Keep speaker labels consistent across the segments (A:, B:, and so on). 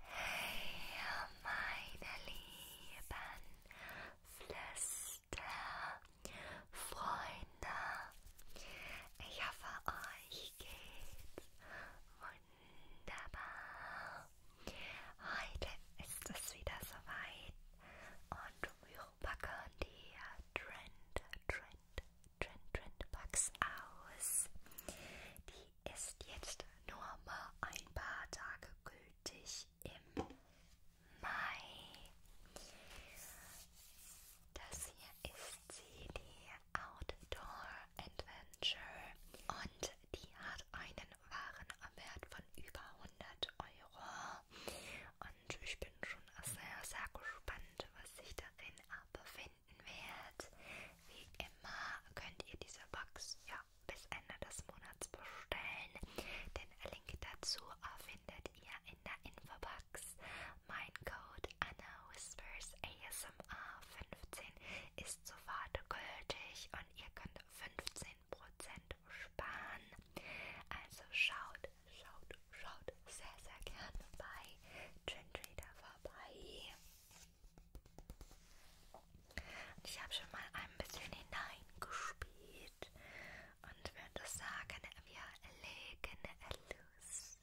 A: Hey, meine lieben Flüsterfreunde, ich hoffe, euch geht's wunderbar. Heute ist es wieder soweit und wir packen die Trend, Trend, Trend, Trend Bugs aus. Die die ist jetzt nur mal ein paar Tage gültig im Mai. Das hier ist sie, die Outdoor Adventure. Und die hat einen Warenwert von über 100 Euro. Und ich bin schon sehr, sehr gespannt, was sich darin befindet finden wird. Wie immer könnt ihr diese Box ja, bis Ende des Monats bestellen. Den Link dazu findet ihr in der Infobox. Mein Code Anna Whispers ASMR 15 ist sofort gültig und ihr könnt 15% sparen. Also schaut, schaut, schaut sehr, sehr gerne bei Gentry da vorbei. Und ich habe schon mal ein bisschen hineingespielt und würde sagen, wir legen los.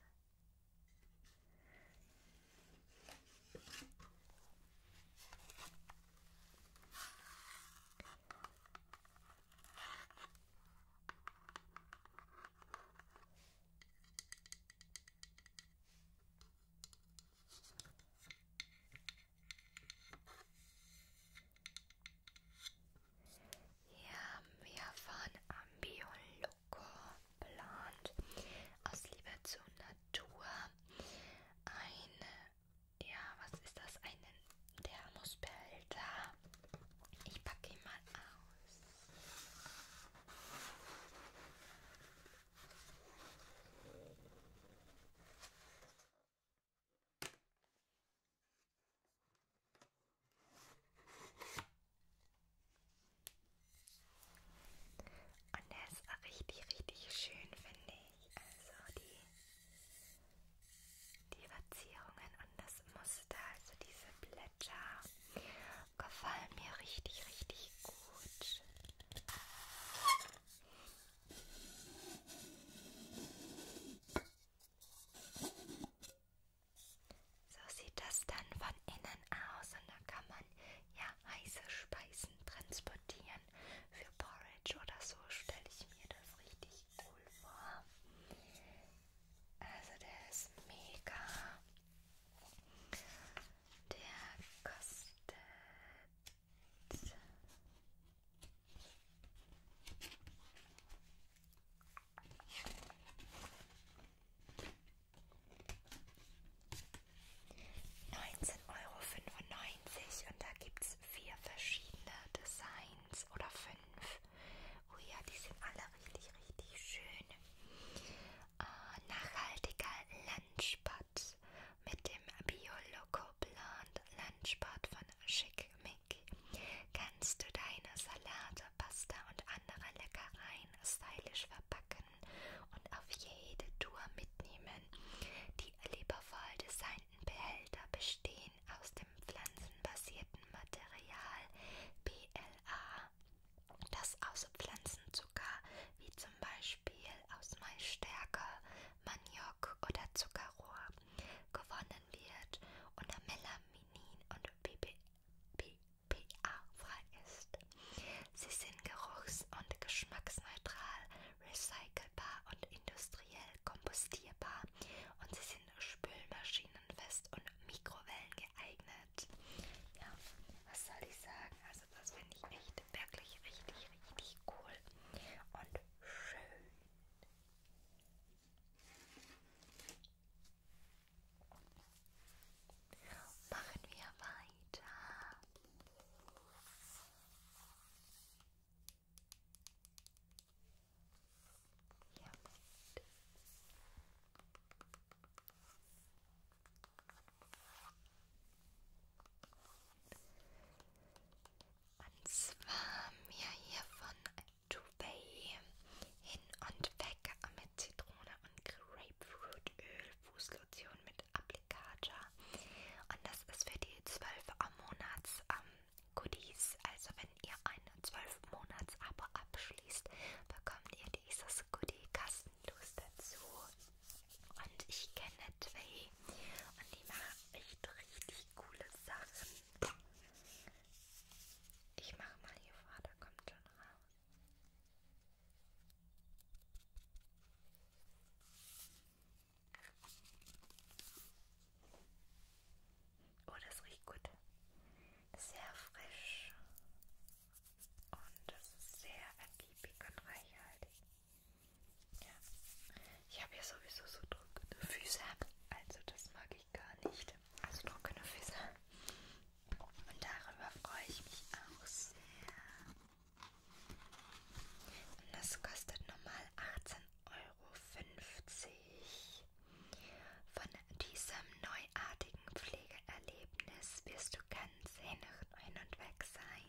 A: Ja, wir fahren Ambio Loco plant aus Liebe zur Natur ein, ja, was ist das? Einen Thermosbehälter. Ich packe ihn mal aus. Und der ist auch richtig, richtig schön, finde ich. Also die, die Verzierungen und das Muster, also diese Blätter, gefallen mir richtig, richtig gut. So sieht das dann von innen aus und da kann man ja heiße Speisen transportieren für Porridge oder so stelle ich mir das richtig cool vor. Also der ist mega. Der kostet. Neunzehn Euro fünfundneunzig und da gibt es vier verschiedene Designs oder fünf. Oh ja, die sind alle richtig, richtig schön. Äh, nachhaltiger Lunchball. Stadt mit dem Bio-Loco-Plant Lunchbot von Schick Mick kannst du deine Salate, Pasta und andere Leckereien stylisch verpacken und auf jede Tour mitnehmen. Die liebevoll designten Behälter bestehen aus dem pflanzenbasierten Material PLA, das aus Pflanzenzucker wie zum zum Beispiel aus Maisstärke, Maniok oder Zuckerrohr gewonnen wird und Melanin und BPA-frei ist. Sie sind geruchs- und geschmacksneutral, recycelbar und industriell kompostierbar und sie sind spülmaschinenfest und Mikrowellen geeignet. Ja, was soll ich sagen? Also das finde ich echt wirklich richtig, richtig cool und schön. Machen wir weiter. Ja. Und zwar mir hier von Dubai hin und weg mit Zitrone und Grapefruitöl, Fußlotion mit Applicator. Und das ist für die 12 Monats ähm, Goodies. Also wenn ihr ein 12 Monats Abo abschließt, bekommt ihr dieses als Goodie kostenlos dazu. Und ich kenne zwei und die machen echt richtig coole Sachen. Ich mache mal hier vor, da kommt schon raus. Oh, das riecht gut. Sehr frisch. Und das ist sehr ergiebig und reichhaltig. Ja. Ich habe ja sowieso so trockene Füße. Also das mag ich gar nicht. Also trockene Füße. Und darüber freue ich mich auch sehr. Und das kostet normal 18,50 Euro. Von diesem neuartigen Pflegeerlebnis wirst du ganz hin und weg sein.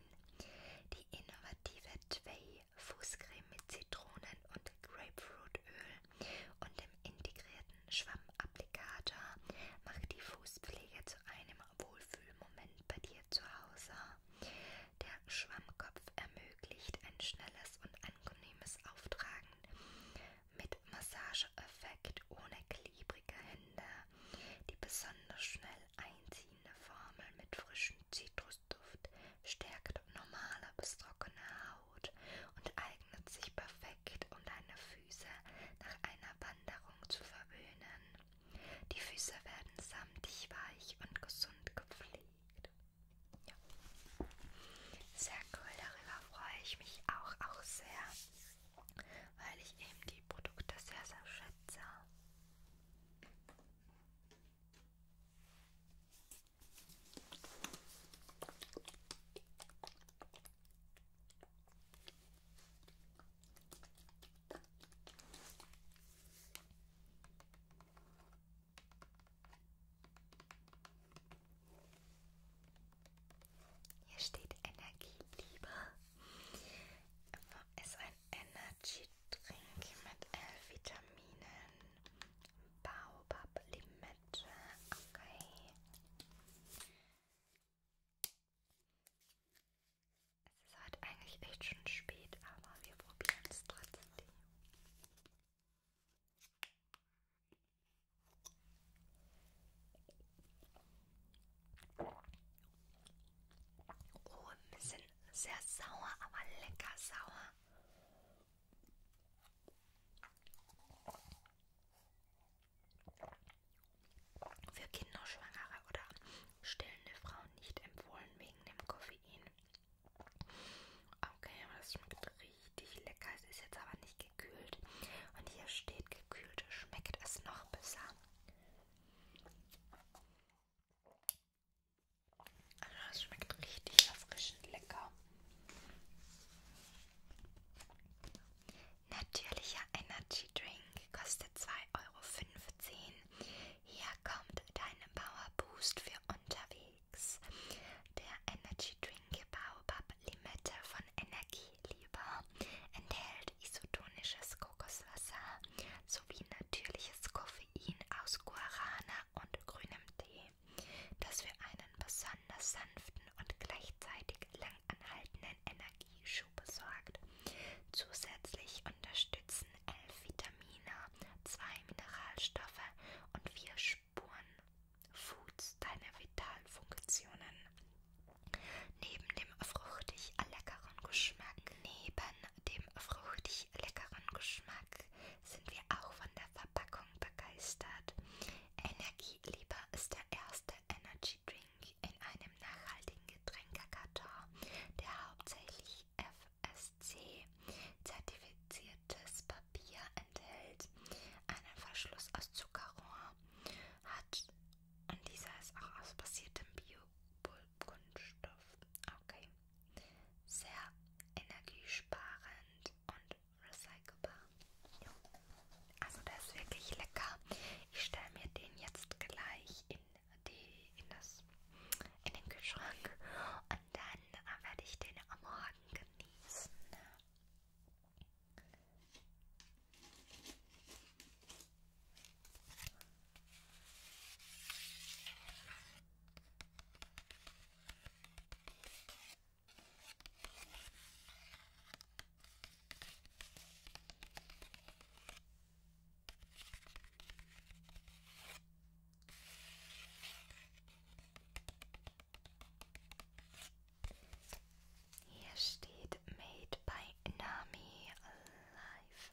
A: Die innovative Twee Fußcreme mit Zitronen- und Grapefruitöl und dem integrierten Schwammapplikator macht die Fußpflege zu einem Wohlfühlmoment bei dir zu Hause. Der Schwammkopf ermöglicht ein schnelles und angenehmes Auftragen mit Massageeffekt ohne klebrige Hände, die besonders schnell einziehen verschiedene Formeln mit frischem Zitrusduft, stärkt normale bis trockene Haut und eignet sich perfekt, um deine Füße nach einer Wanderung zu verwöhnen. Die Füße werden samtig weich und gesund gepflegt. Ja. Sehr cool, darüber freue ich mich auch, auch sehr, weil ich eben die Produkte sehr, sehr schätze. Hier steht Energieblieber. Es ist ein Energy Drink mit L-Vitaminen, Baobab Limette, okay. Es ist heute eigentlich echt schon spät, aber wir probieren es trotzdem. Ohren sind sehr sauer, aber lecker sauer. Für Kinder, Schwangere oder stillende Frauen nicht empfohlen wegen dem Koffein. Okay, aber das schmeckt richtig lecker. Es ist jetzt aber nicht gekühlt. Und hier steht gekühlt, schmeckt es noch besser. Das schmeckt richtig erfrischend lecker. Natürlicher Energy Drink kostet 2,15 Euro. Hier kommt dein Power Boost für unterwegs. Der Energy Drink Baobab Limette von Energieliebe enthält isotonisches Kokoswasser, sowie natürliches Koffein aus Guarana und grünem Tee, das für einen besonders sanften und gleichzeitig langanhaltenden Energieschub sorgt. Zusätzlich unterstützen elf Vitamine, zwei Mineralstoffe und vier Spuren Foods deine Vitalfunktionen. Neben dem fruchtig leckeren Geschmack, neben dem fruchtig leckeren Geschmack sind wir auch von der Verpackung begeistert. Energielieber ist der erste Energy Drink in einem nachhaltigen Getränkekarton, der hauptsächlich FSC zertifiziertes Papier enthält, einen Verschluss aus Zuckerrohr hat und dieser ist auch aus basiertem Bio Kunststoff. Okay. Sehr energiesparend und recycelbar. Jo. Also der ist wirklich lecker. Ich stelle mir den jetzt gleich in, die, in, das, in den Kühlschrank und dann werde ich den am Morgen genießen. Hier steht Made by Nami Live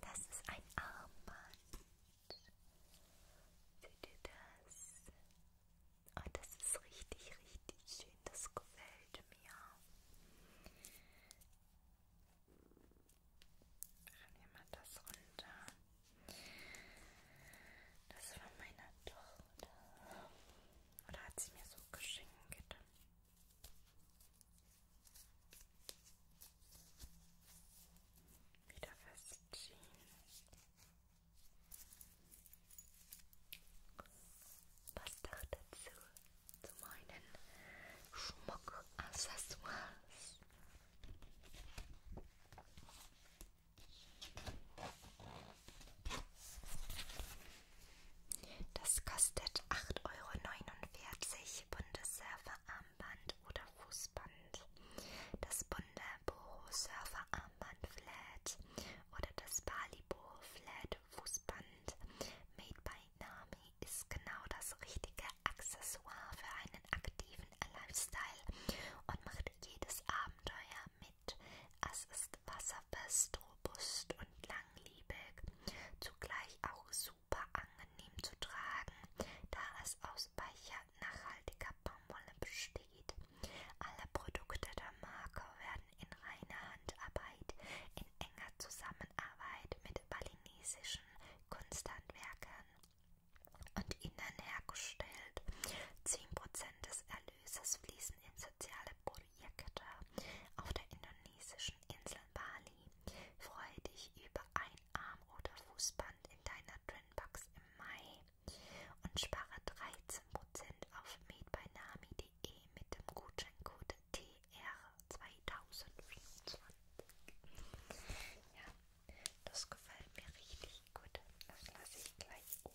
A: Das ist ein Armband. Seht ihr das? Und ah, das ist richtig, richtig schön. Das gefällt mir. Dann nehmen wir das runter. Das war meiner Tochter. Oder hat sie mir so geschenkt? Wieder festziehen. Passt doch dazu zu meinen Schmuckaccessoires. Das kostet 8,49 Euro Bundesserver Armband oder Fußband, das bunte Boho Surfer Armband Flat oder das Bali Boho Flat Fußband Made by Nami ist genau das richtige Accessoire für einen aktiven Lifestyle und macht jedes Abenteuer mit. Es ist wasserfest, robust und langlebig, zugleich auch super super angenehm zu tragen, da es aus weicher, nachhaltiger Baumwolle besteht. Alle Produkte der Marke werden in reiner Handarbeit in enger Zusammenarbeit mit balinesischen Kunsthandwerkern und ihnen hergestellt. 10% des Erlöses fließen in soziale Projekte auf der indonesischen Insel Bali. Freue dich über ein Arm- oder Fußband in deiner Trinbox im Mai und spare 13% auf medbeinami.de mit dem Gutscheincode TR2024. Ja, das gefällt mir richtig gut. Das lasse ich gleich oben.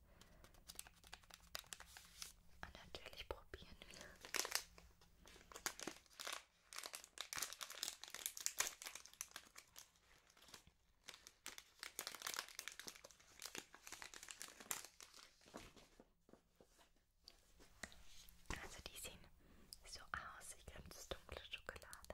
A: ist. Ah, Und natürlich probieren wir. Also die sehen so aus, ich glaube das ist dunkle Schokolade.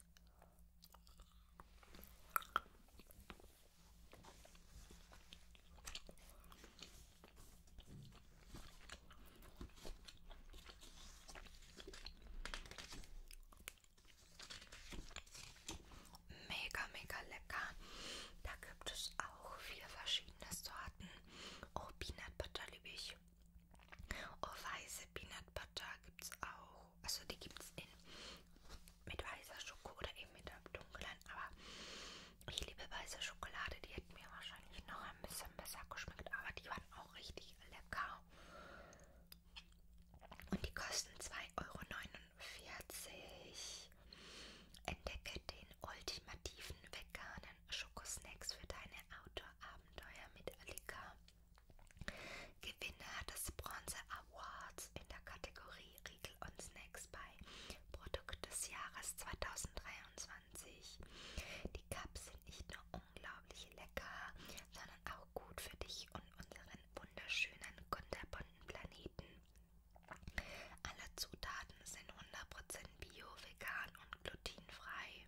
A: Mega, mega lecker. Da gibt es auch vier verschiedene Sorten. Oh, Peanut Butter liebe ich. Oh, weiße Peanut Butter gibt es auch. Schoko. Also die gibt es in mit weißer Schoko oder eben mit der dunklen. Aber ich liebe weiße Schokolade. Die hätte mir wahrscheinlich noch ein bisschen besser geschmeckt. Aber die waren auch richtig lecker. Und die kosten 2,49 Euro. Entdecke den ultimativen veganen Schokosnacks für deine Outdoor-Abenteuer mit Alika. Gewinner des Bronze Awards in der Kategorie Riegel und Snacks bei Produkt des Jahres 2023. Die Cups sind nicht nur unglaublich lecker, sondern auch gut für dich und unseren wunderschönen, kunterbunten Planeten. Alle Zutaten sind 100% bio, vegan und glutenfrei.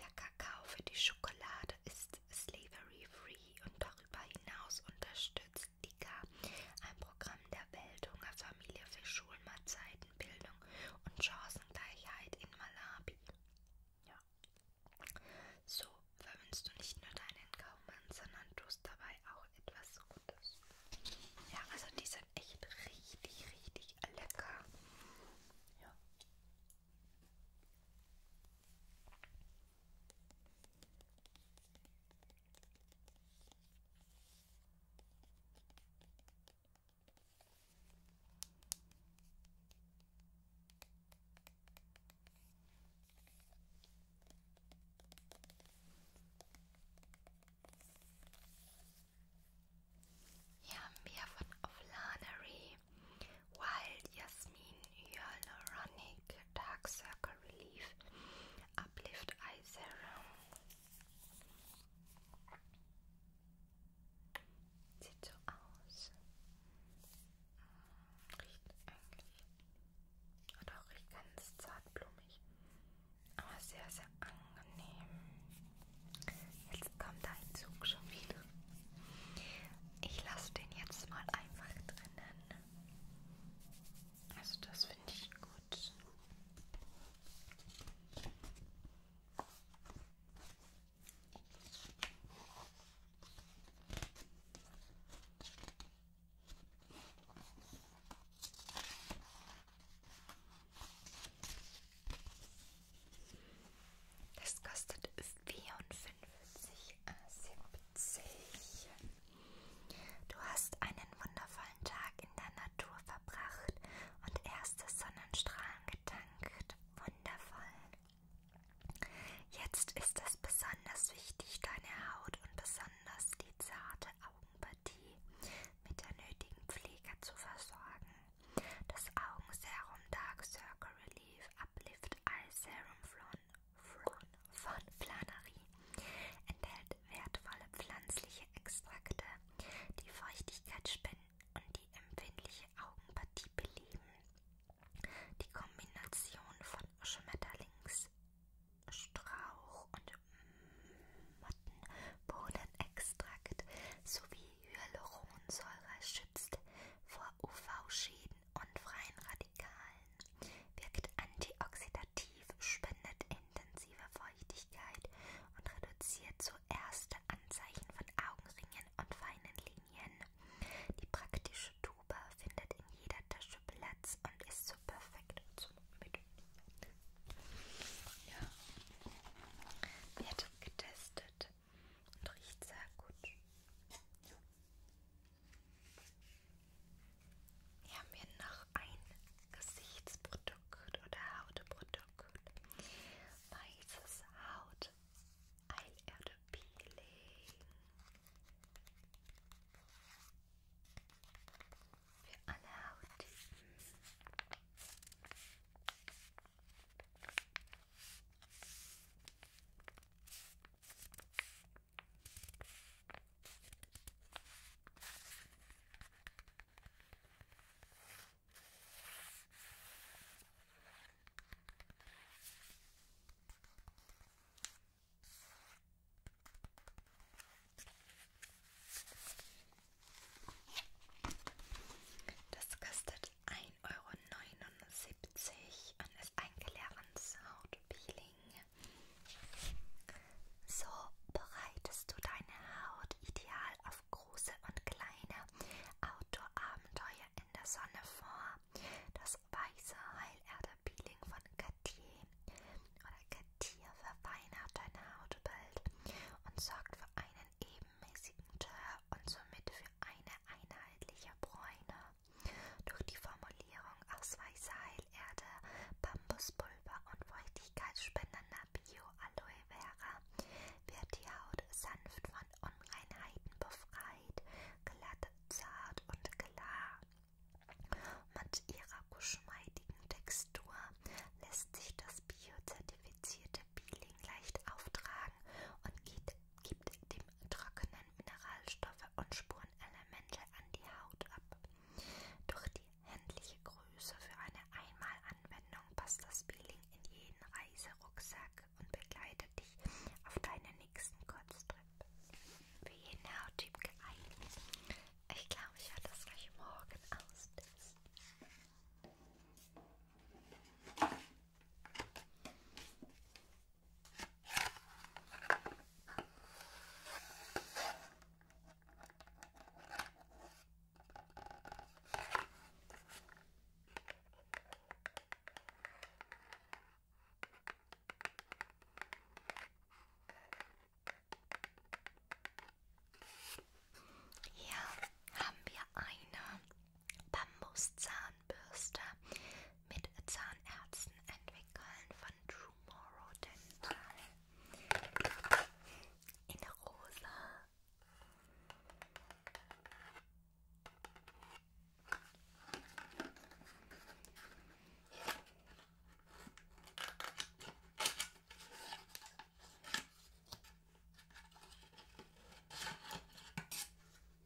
A: Der Kakao für die Schokolade ist ist Slavery Free und darüber hinaus unterstützt DICA ein Programm der Weltunger Familie für Schulmahlzeiten, Bildung und Chancengleichheit in Malawi. Ja. So verwünschst du nicht nur deinen Gaumen, sondern tust dabei auch etwas Gutes. Ja, also die sind echt richtig, richtig lecker. Ja. Hier haben wir von Oflanery Wild Jasmin Hyaluronic Dark Circle Relief Uplift Eye Serum. Sieht so aus. Hm, riecht eigentlich. Oder auch riecht ganz zartblumig. Aber sehr, sehr angenehm. Jetzt kommt ein Zug schon wieder. Ich lasse den jetzt mal einfach drinnen. Also das finde ich gut. Das kostet 44,70. Du hast einen wundervollen Tag in der Natur verbracht und erste Sonnenstrahlen getankt. Wundervoll. Jetzt ist es besonders wichtig, deine Haut und besonders die zarte Augenpartie mit der nötigen Pflege zu versorgen. Das Augenserum Dark Circle Relief Uplift Eye Serum von, von, von Flanarie enthält wertvolle pflanzliche Extrakte, die Feuchtigkeit spenden und die empfindliche Augenpartie beleben. Die Kombination von Schmetterlingsstrauch und Mottenbohnenextrakt sowie Hyaluronsäure schützt vor UV-Schäden und freien Radikalen, wirkt antioxidativ, spendet intensive Feuchtigkeit und reduziert so erste Anzeichen von Augenringen und feinen Linien. Die praktische Tube findet in jeder Tasche Platz und ist so perfekt zum Mitnehmen. Ja. Wird getestet und riecht sehr gut. Hier haben wir noch ein Gesichtsprodukt oder Hautprodukt. Weißes Haut Eilerde Peeling. Für alle Hauttypen. Das kostet 1 Euro und ist ein Clarence Hautpeeling. So bereitest du deine Haut ideal auf große und kleine Outdoor-Abenteuer in der Sonne vor. Das weiße Heilerde-Peeling von Cartier oder Cartier verfeinert dein Hautbild und sorgt für einen ebenmäßigen Teint und somit für eine einheitliche Bräune. Durch die Formulierung aus weißer Heilerde, Bambuspulver und feuchtigkeitsspendender Bio-Aloe Vera wird die Haut sanft von Unreinheiten befreit, glatt, zart und klar. Mit ihrer geschmeidigen Textur lässt sich das biozertifizierte Peeling leicht auftragen und geht gibt dem trockenen Mineralstoffe und Spurenelemente an die Haut ab. Durch die händliche Größe für eine Einmalanwendung passt das Peeling in jeden Reiserucksack und begleitet dich auf deinen nächsten Kurztrip. Für jeden Hauttyp geeignet. Ich glaube, ich werde das gleich morgen austesten. Hier haben wir eine Bambuszahnbürste mit Zahnärzten entwickeln von Tomorrow Dental in rosa.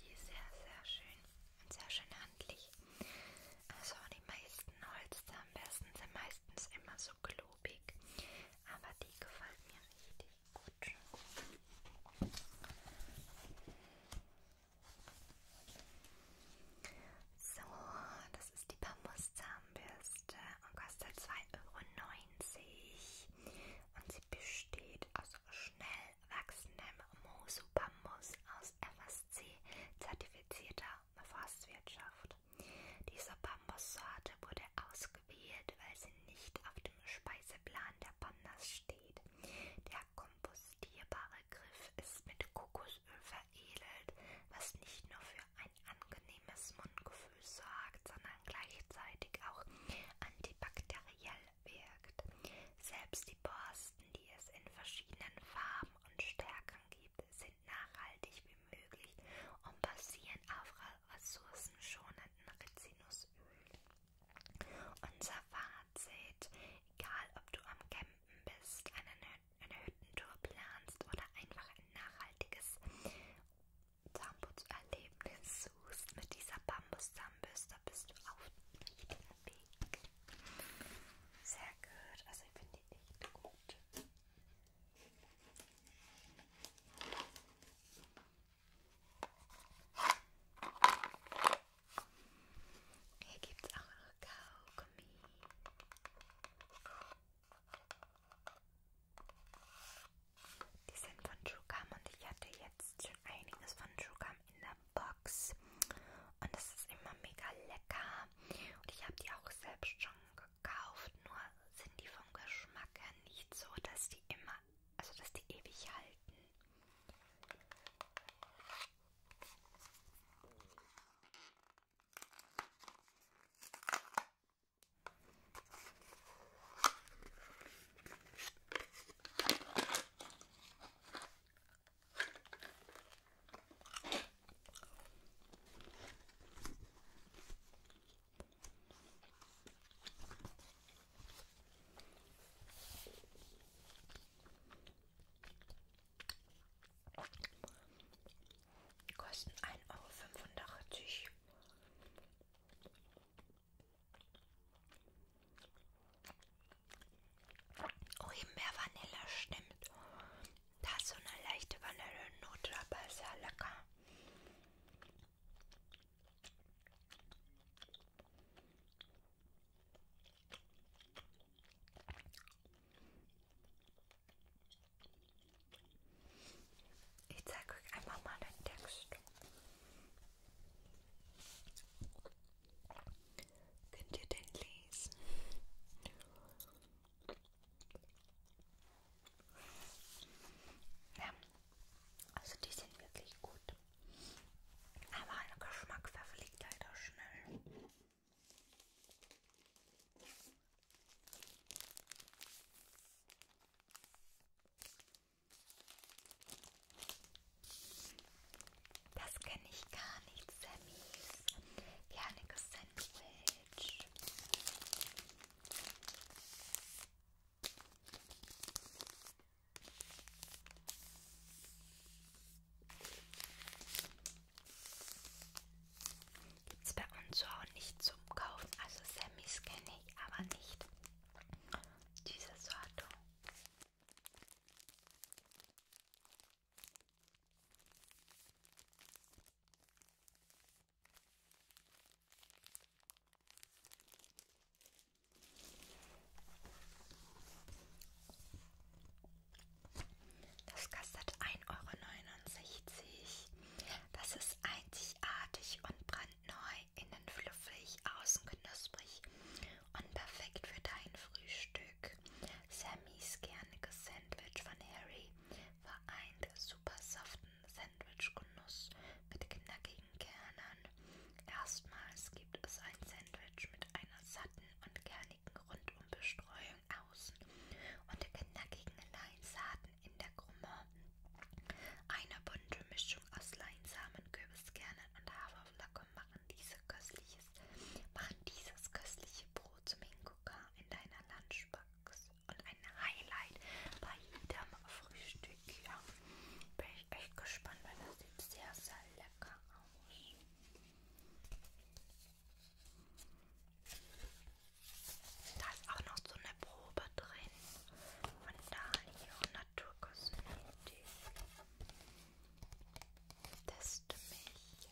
A: Die ist sehr, sehr schön und sehr schön handlich. Also die meisten Holzzahnbürsten sind meistens immer so klobig, aber die gefällt mir richtig gut. So, das ist die Bambuszahnbürste und kostet 2,90 Euro. Und sie besteht aus schnell wachsendem Mosu-Bambus aus FSC-zertifizierter Forstwirtschaft. Diese Bambussorte wurde ausgewählt, weil sie nicht auf dem Speiseplan der Pandas steht. Der kompostierbare Griff ist mit Kokosöl veredelt, was nicht nur für ein angenehmes Mundgefühl sorgt, sondern gleichzeitig auch antibakteriell wirkt. Selbst die Borsten, die es in verschiedenen Farben und Stärken gibt, sind nachhaltig wie möglich und basieren auf ressourcenschonenden Rizinusöl. Unser Fazit, egal ob du am Campen bist, einen Hütten eine Hüttentour planst oder einfach ein nachhaltiges Zahnputzerlebnis suchst mit dieser bambus gekommen bist, da bist du auf dem Weg. Sehr gut. Also ich finde die echt gut. Hier gibt es auch noch Kaugummi. Die sind von Schugam und ich hatte jetzt schon einiges von Schugam in der Box. Und das ist immer mega lecker. Und ich habe die auch selbst schon gekauft. Nur sind die vom Geschmack her nicht so, dass die immer, also dass die ewig halten. Die kosten ein Euro fünfundachtzig. Oh, mehr Vanille, stimmt. Da ist so eine leichte Vanillenote dabei, sehr lecker. Ich zeige euch einfach mal den Text. Könnt ihr den lesen? Ja, also die sind wirklich gut. Aber ein Geschmack verfliegt leider halt schnell. Das kenne ich gar nicht, Sammys. Kerniges Sandwich. Gibt es bei uns auch nicht zum Kaufen. Also Sammys kenne ich, aber nicht diese Sorte. Das kostet 1,69 Euro. Das ist einzigartig und brandneu, innen fluffig, außen knusprig und perfekt für dein Frühstück zurück. Sammys kerniges Sandwich von Harry vereint super saften Sandwichgenuss mit knackigen Kernen. Erstmals gibt es ein Sandwich mit einer satten und kernigen Rundumbestreuung außen und knackigen Leinsaaten in der Krumme. Eine bunte Mischung aus Leinsamen, Kürbiskernen und Haferflocken macht machen, diese köstliches, machen dieses köstliche Brot zum Hingucker in deiner Lunchbox und ein Highlight bei jedem Frühstück. Ja, bin ich echt gespannt, weil das sieht sehr, sehr lecker aus. Da ist auch noch so eine Probe drin von Dalio Naturkosmetik. Teste mich.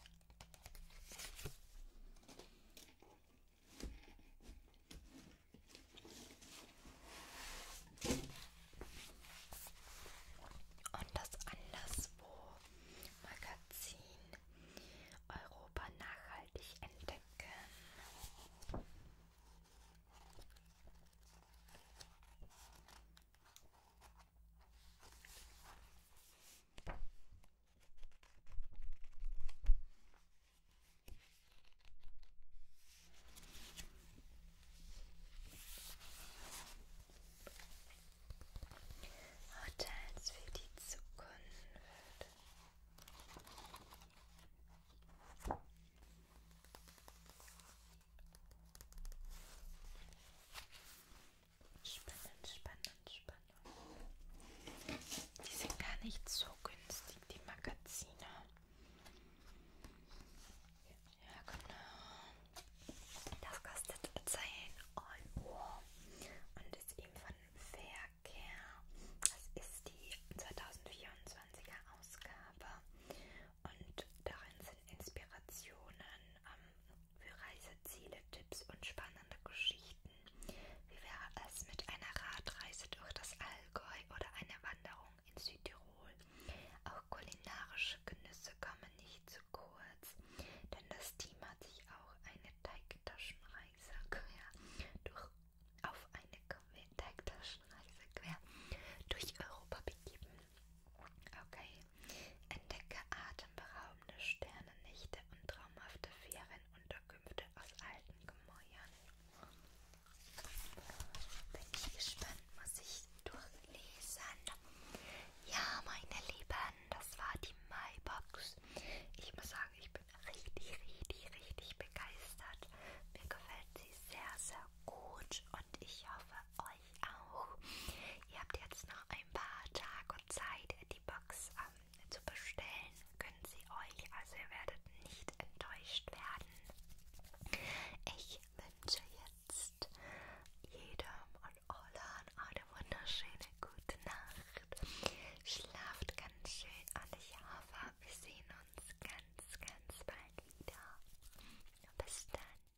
A: Und das anderswo Magazin Europa nachhaltig entdecken. Hotels für die Zukunft. Spannend, spannend, spannend. Die sind gar nicht so günstig, die Magazine. Ja, genau. Das kostet 10 Euro und ist eben von Verkehr. Das ist die 2024er Ausgabe und darin sind Inspirationen ähm, für Reiseziele, Tipps und spannende Geschichten. Wie wäre es mit einer Radreise durch das Allgäu oder einer Wanderung in Südtirol? Auch kulinarische Genüsse kommen nicht zu kurz, denn das Team hat sich auch eine Teigtaschenreise quer durch auf eine Teigtaschenreise quer durch Europa begeben. Okay. Entdecke atemberaubende Sternennächte und traumhafte Ferienunterkünfte aus alten Gemäuern. Bin ich gespannt, muss ich durchlesen. Ja, meine Lieben, das war die MyBox. Ich muss sagen, ich bin richtig, richtig, richtig begeistert. Mir gefällt sie sehr, sehr gut und ich hoffe euch auch. Ihr habt jetzt noch ein paar Tage Zeit, die Box ähm, zu bestellen. Können sie euch, also ihr werdet nicht enttäuscht werden. Ich wünsche jetzt jedem und allen eine wunderschöne gute Nacht. Schlaft ganz schön und ich hoffe, wir sehen uns ganz, ganz bald wieder. Bis dann.